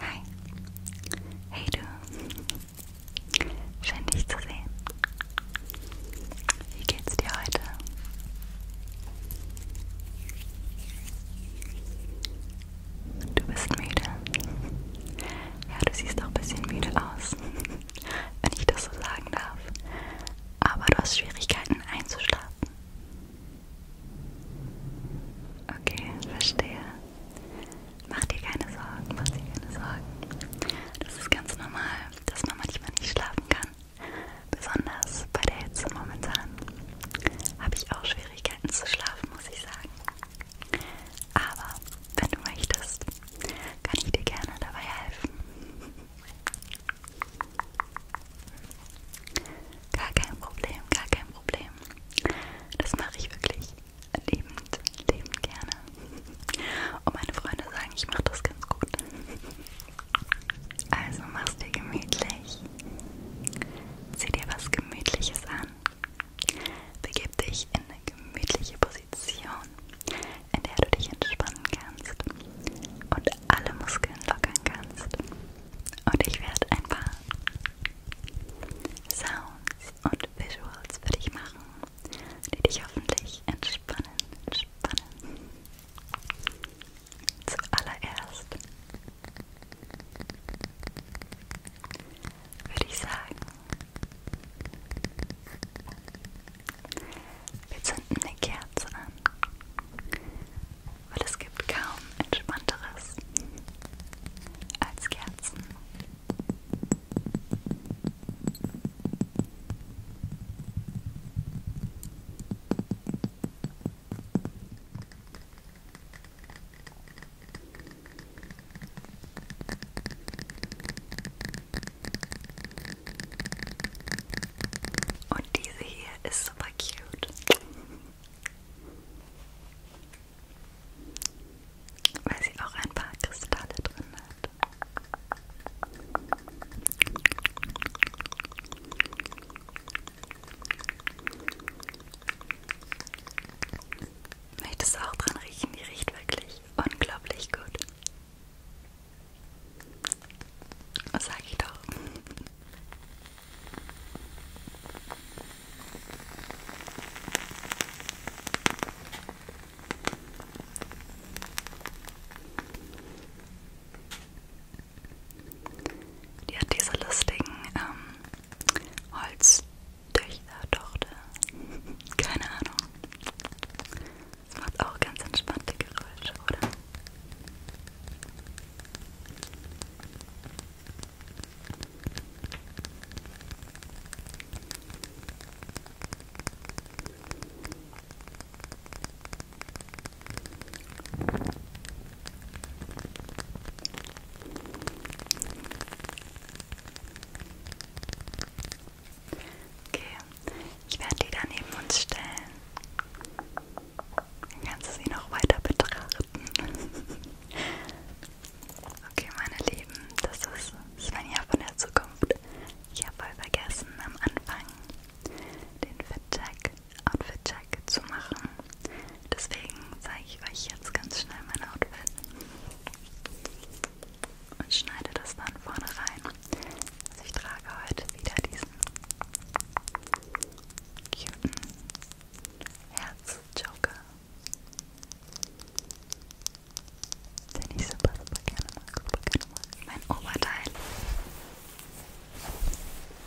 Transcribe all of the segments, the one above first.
Hi. Hey du. Schön dich zu sehen. Wie geht's dir heute? Du bist müde. Ja, du siehst auch ein bisschen müde aus, wenn ich das so sagen darf. Aber du hast Schwierigkeiten einzuschlafen. Okay, verstehe. Mach dir keine Sorgen, mach dir keine Sorgen. Das ist ganz normal, dass man manchmal nicht schlafen kann. Besonders bei der Hitze momentan habe ich auch Schwierigkeiten zu schlafen, muss ich sagen. Aber wenn du möchtest, kann ich dir gerne dabei helfen. Gar kein Problem, gar kein Problem. Das mache ich wirklich lebend, lebend gerne. Und meine Freunde sagen, ich mache das ganz gut. Also mach's dir gemütlich. Zieh dir was Gemütliches an. Begib dich in eine gemütliche Position in der du dich entspannen kannst und alle Muskeln lockern kannst. Und ich werde ein paar Sounds und Visuals für dich machen, die dich hoffentlich entspannen, entspannen. Zuallererst würde ich sagen, wir zünden eine Kerze an, weil es gibt kaum entspannteres als Kerzen. Und diese hier ist super cute. Weil sie auch ein paar Kristalle drin hat. Möchtest du auch dran riechen? Die riecht wirklich unglaublich gut. Was sag ich doch? Die hat diese lustigen ähm, Holztöchter, Tochter, keine Ahnung. Es macht auch ganz entspannte Geräusche, oder? Okay, ich werde die da neben uns stellen. Dann kannst du sie noch weiter betrachten. okay, meine Lieben, das ist Svenja von der Zukunft. Ich habe voll vergessen, am Anfang den Fit-Check, Outfit-Check zu machen. Deswegen zeige ich euch jetzt ganz schnell mein Outfit und schneide das dann vorne rein. Also ich trage heute wieder diesen cuten Herzjoker, den ich super, super gerne mag, super gerne mag. Mein Oberteil.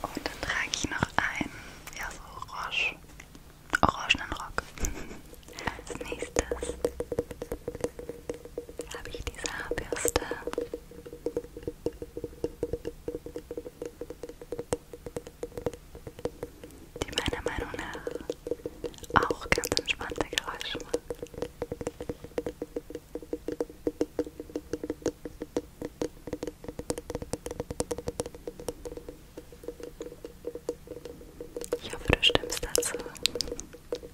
Und dann trage ich noch einen, ja so orange, orangenen Rock. Als nächstes habe ich diese Haarbürste. Die meiner Meinung nach auch ganz entspannte Geräusche macht. Ich hoffe, du stimmst dazu.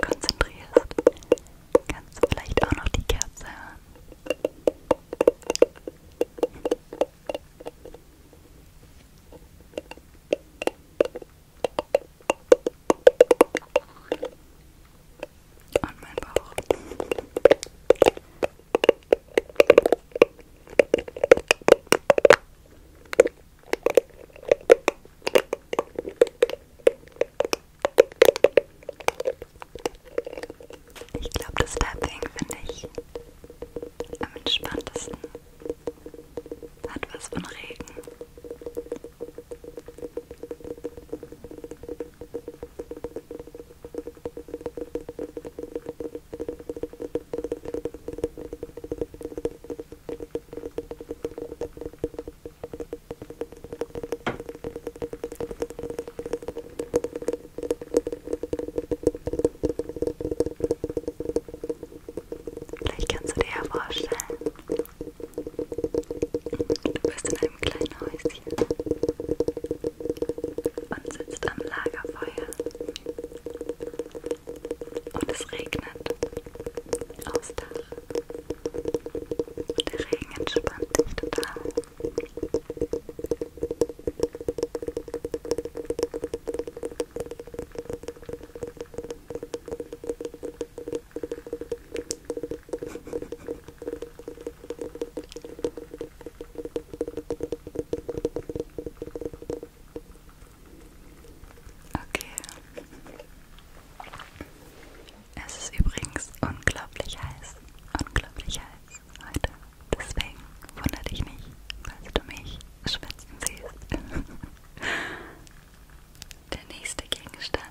konzentrierst, kannst du vielleicht auch noch die Kerze hören. Und mein Bauch. Ich glaube, das Tapping finde ich am entspanntesten. Hat was von Regen. Vielleicht kannst du dir ja vorstellen, du bist in einem kleinen Häuschen und sitzt am Lagerfeuer und es regnet aufs Dach. Der Regen entspannt sich total. Okay. Es ist übrigens unglaublich heiß. Unglaublich heiß heute. Deswegen wundere dich nicht, falls du mich schwitzen siehst. Der nächste Gegenstand,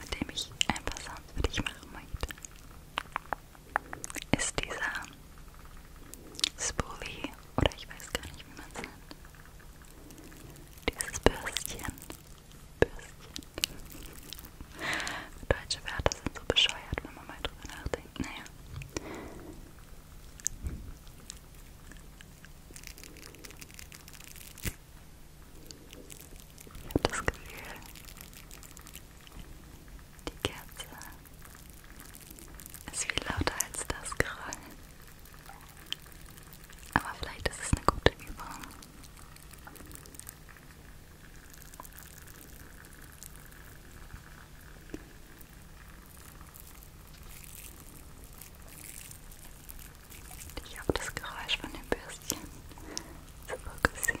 mit dem ich ein paar Sounds für dich machen möchte, ist dieser Spoolie, oder ich weiß gar nicht, wie man es nennt. Dieses Bürstchen. Bürstchen. Deutsche Wörter sind so bescheuert, wenn man mal drüber nachdenkt. Naja. Ich habe das Gefühl, die Kerze ist viel lauter als das Geräusch. Aber vielleicht ist es eine gute Übung. Dich auf das Geräusch von dem Bürstchen zu fokussieren.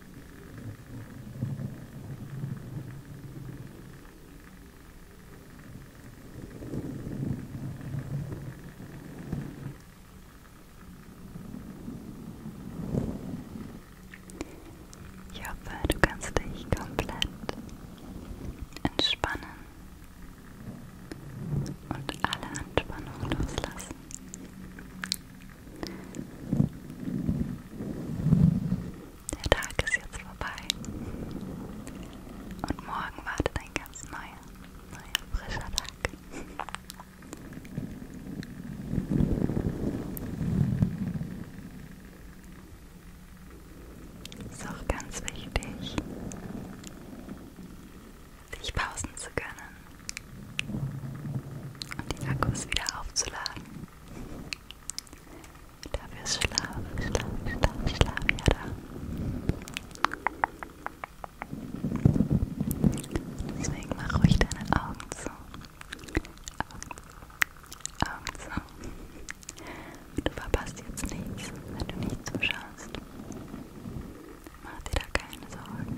Ich hoffe, du kannst dich komplett entspannen und alle Anspannung loslassen. Der Tag ist jetzt vorbei. Und morgen wartet ein ganz neuer, neuer, frischer Tag. Ist auch ganz wichtig, sich pausen zu können und die Akkus wieder aufzuladen. Dafür ist Schlaf, Schlaf, Schlaf, Schlaf ja da. Deswegen mach ruhig deine Augen zu. Augen, Augen zu. Du verpasst jetzt nichts, wenn du nicht zuschaust. Mach dir da keine Sorgen.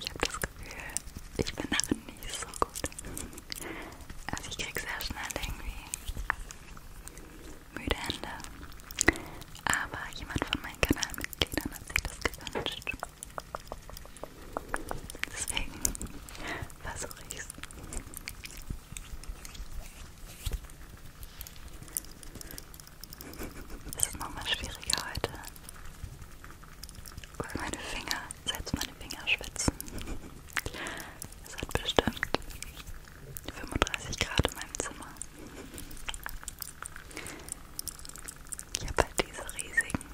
Ich habe das Gefühl, ich bin darin nicht so gut. Also ich krieg sehr schnell irgendwie müde Hände. Aber jemand von meinen Kanalmitgliedern hat sich das gewünscht. Deswegen versuche ich es. Es ist nochmal schwieriger heute. Weil meine Finger, selbst meine Finger schwitzen. Es hat bestimmt 35 Grad in meinem Zimmer. Ich habe halt diese riesigen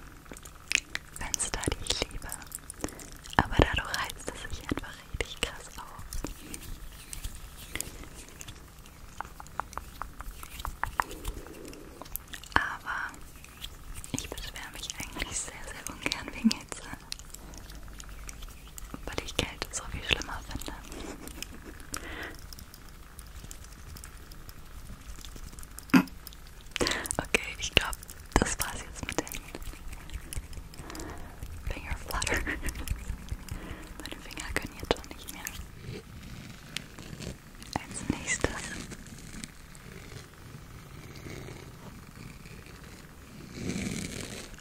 Fenster, die ich liebe. Aber dadurch heizt es sich einfach richtig krass auf. Aber ich beschwere mich eigentlich sehr, sehr ungern wegen Hitze, weil ich Kälte so viel schlimmer finde. Okay, ich glaube, das war's jetzt mit den Fingerflutter. Meine Finger können jetzt schon nicht mehr. Als nächstes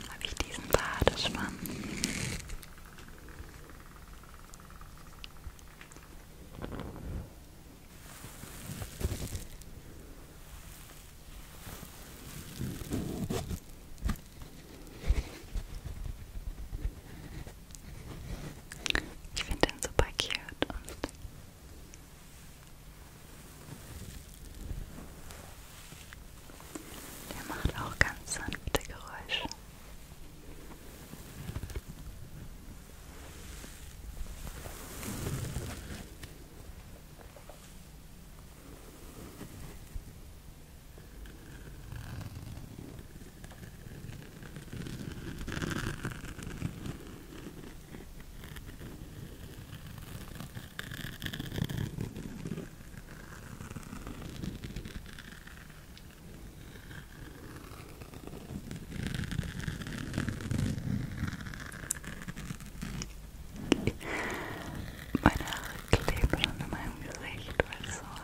habe ich diesen Badeschwamm. Ich finde den super cute und der macht auch ganz sanfte Geräusche. Meine Haare kleben schon in meinem Gesicht, weil es so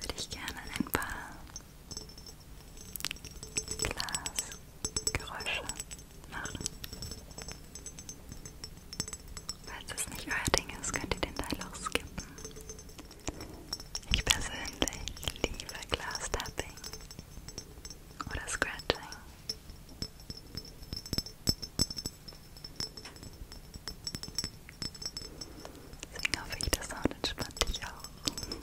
würde ich gerne ein paar Glasgeräusche machen. Falls das nicht euer Ding ist, könnt ihr den Teil auch skippen. Ich persönlich liebe Glastapping oder Scratching. Deswegen hoffe ich, der Sound entspannt dich auch. Wenn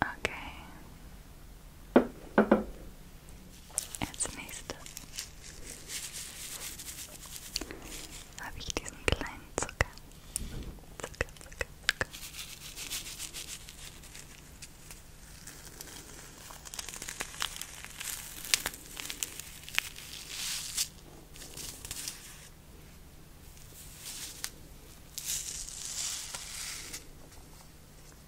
Okay. Als nächstes habe ich diesen kleinen Zucker. Zucker, Zucker, Zucker.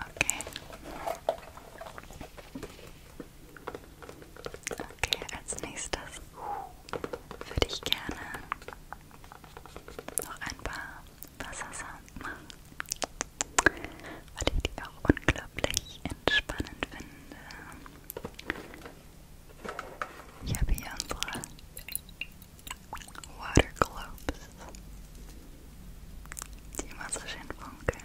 Okay. Okay, als nächstes würde ich gerne noch ein paar Wassersound machen, weil ich die auch unglaublich entspannend finde. Ich habe hier unsere Water Globes, die immer so schön funkeln.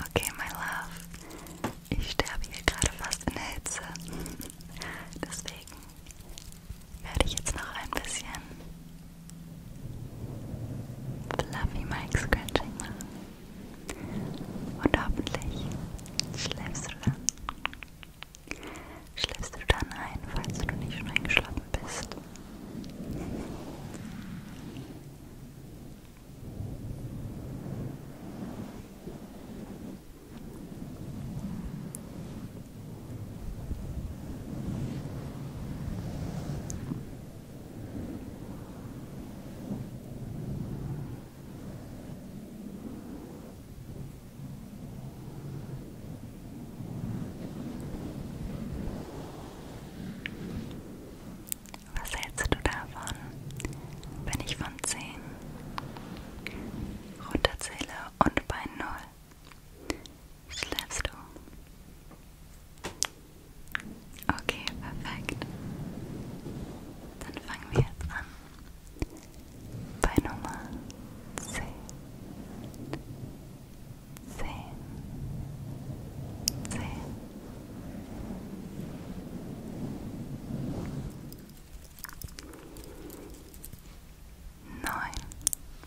Okay, my love, ich sterbe hier gerade fast in Hitze. Deswegen werde ich jetzt noch ein bisschen Fluffy Mike Scratching machen. Und hoffentlich schläfst du dann. Schläfst du dann ein, falls du nicht schon eingeschlafen bist. Was hältst du davon, wenn ich von zehn runterzähle und bei null Schläfst du? Okay, perfekt. Dann fangen wir jetzt an. Bei Nummer 10. 10. 10. Neun.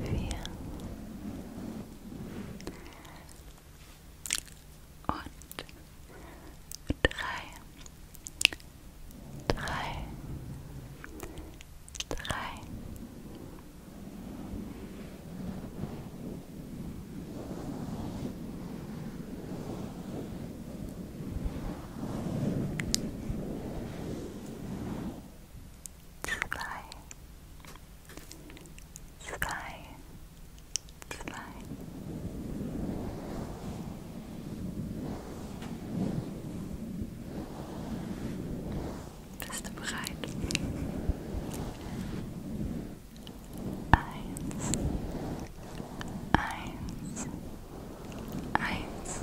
vier und drei, drei, drei. Vier, Zwei. Zwei. Zwei. Bist du bereit? Eins, eins, eins,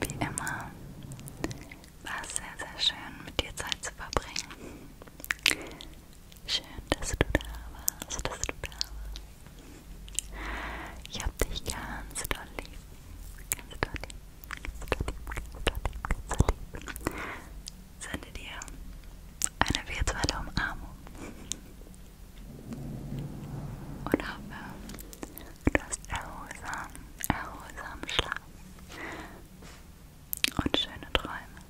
Wie immer war es sehr, sehr schön, mit dir Zeit zu verbringen. Schön, dass du da warst, dass du da warst. Ich hab dich ganz doll lieb. Ganz doll lieb, ganz doll lieb, ganz doll lieb, ganz doll lieb. Sende dir eine virtuelle Umarmung und hoffe, du hast erholsam, erholsamen Schlaf und schöne Träume.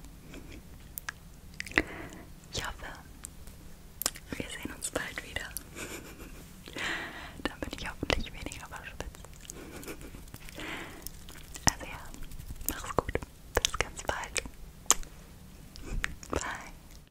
Ich hoffe, wir sehen uns bald wieder. Dann bin ich hoffentlich weniger verschwitzt. Also ja, mach's gut. Bis ganz bald. Bye.